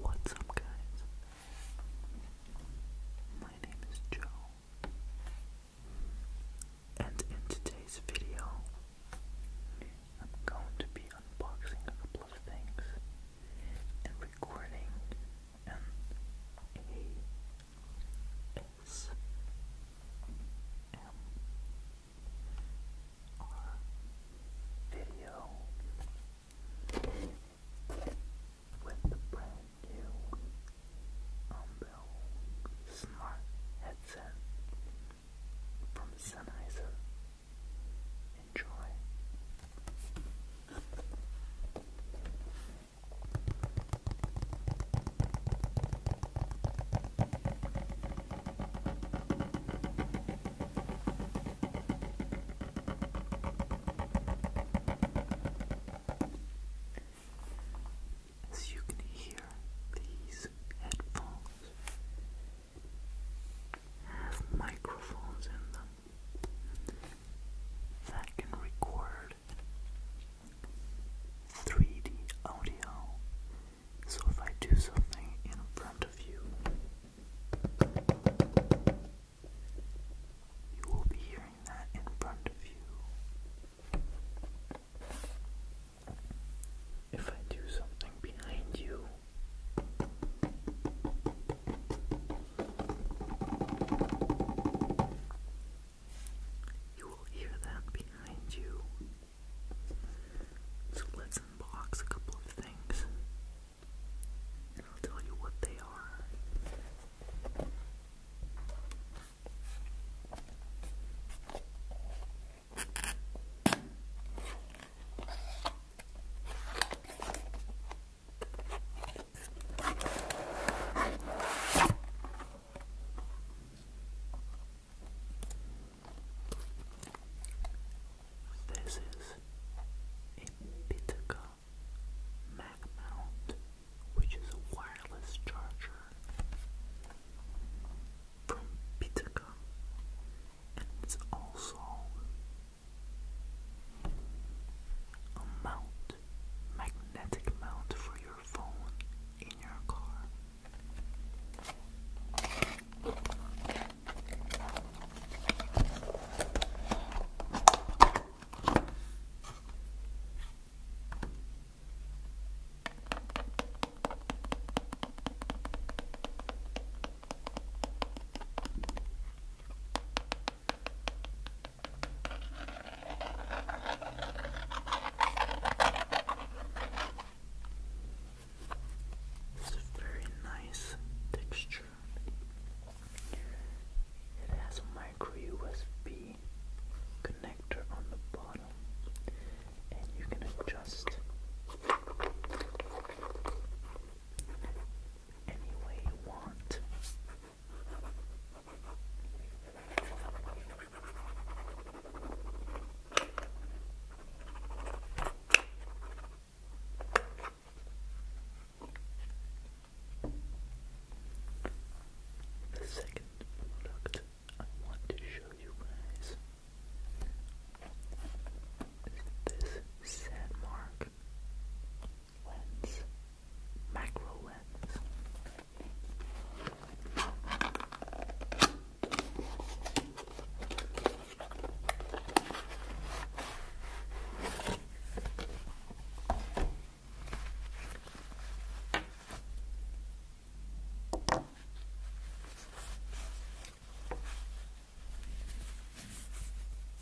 What's up, guys? My name is Joe, and in today's video, I'm going to be unboxing a couple of things and recording an ASMR or video with the brand new Umbel Smart Headset from Sennheiser. Enjoy. As you can hear, these headphones have microphones in them that can record 3D audio so if I do something in front of you, you will be hearing that in front of you. If I do something behind you, you will hear that behind you. So let's unbox a couple of things. I'll tell you what they are. This is a Bitaka Mac which is a wireless charger from Bitaka, and it's also a mount, magnetic mount for your your phone in your car. It's a very nice texture. It has a micro USB connector on the bottom, and you can adjust any way you want. The second product I want to show you guys is this sand mark lens, macro lens.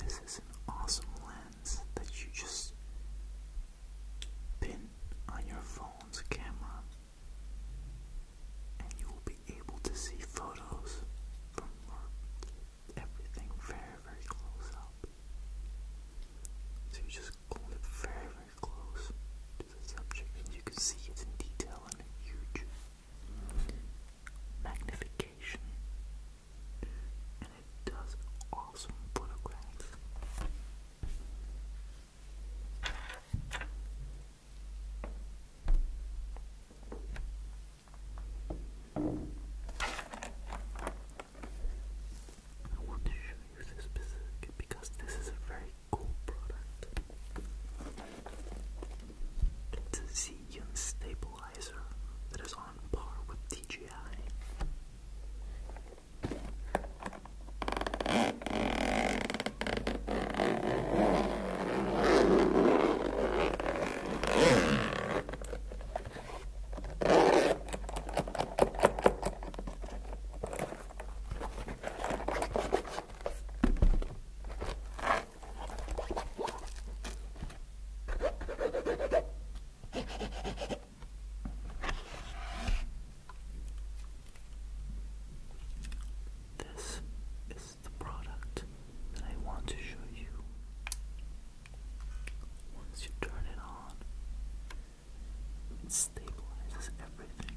This is an awesome lens that you just pin on your phone's camera, and you will be able to see photos from everything very, very close up. So you just hold it very close to the subject and you can see it in detail and a huge magnification. And it does awesome photographs. I want to show you this because this is a very cool product. a Xeon stabilizer that is on par with DJI. This is the product that I want to show you. Once you turn it on, it stabilizes everything.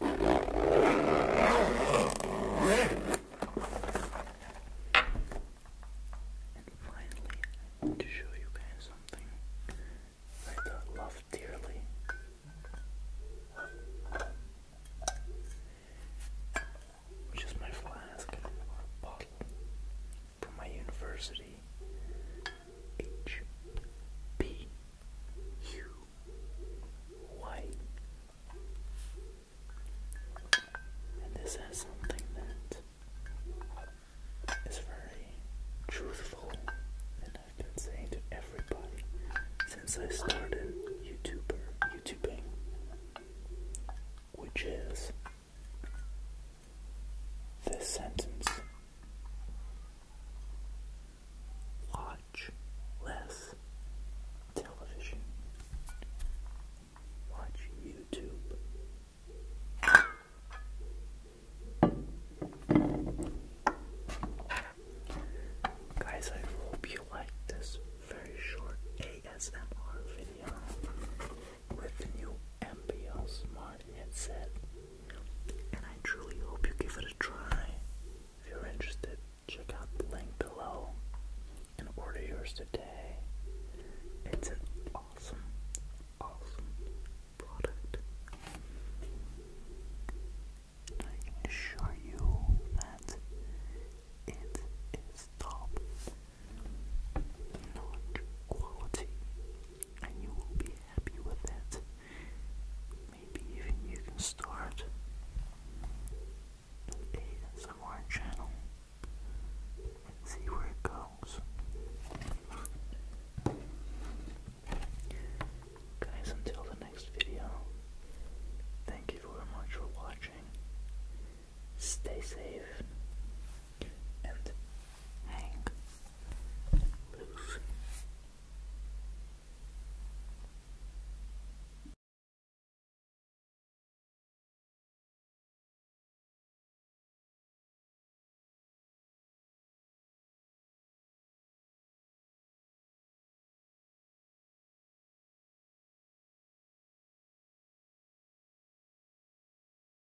And finally, to show you guys something I love dearly. Which is my flask or bottle from my university H P you white. And this has something that is very truthful and I've been saying to everybody since I started YouTuber YouTubing which is this sentence Watch less television. Watch YouTube. Guys, I hope you liked this very short ASMR video with new MBL Smart headset and I truly hope you give it a try. If you're interested, check out the link below and order yours today. It's an awesome, awesome product. I can assure you that it is top notch quality and you will be happy with it. Maybe even you can start a somewhere channel see where it goes. Guys, until the next video, thank you very much for watching. Stay safe and hang loose.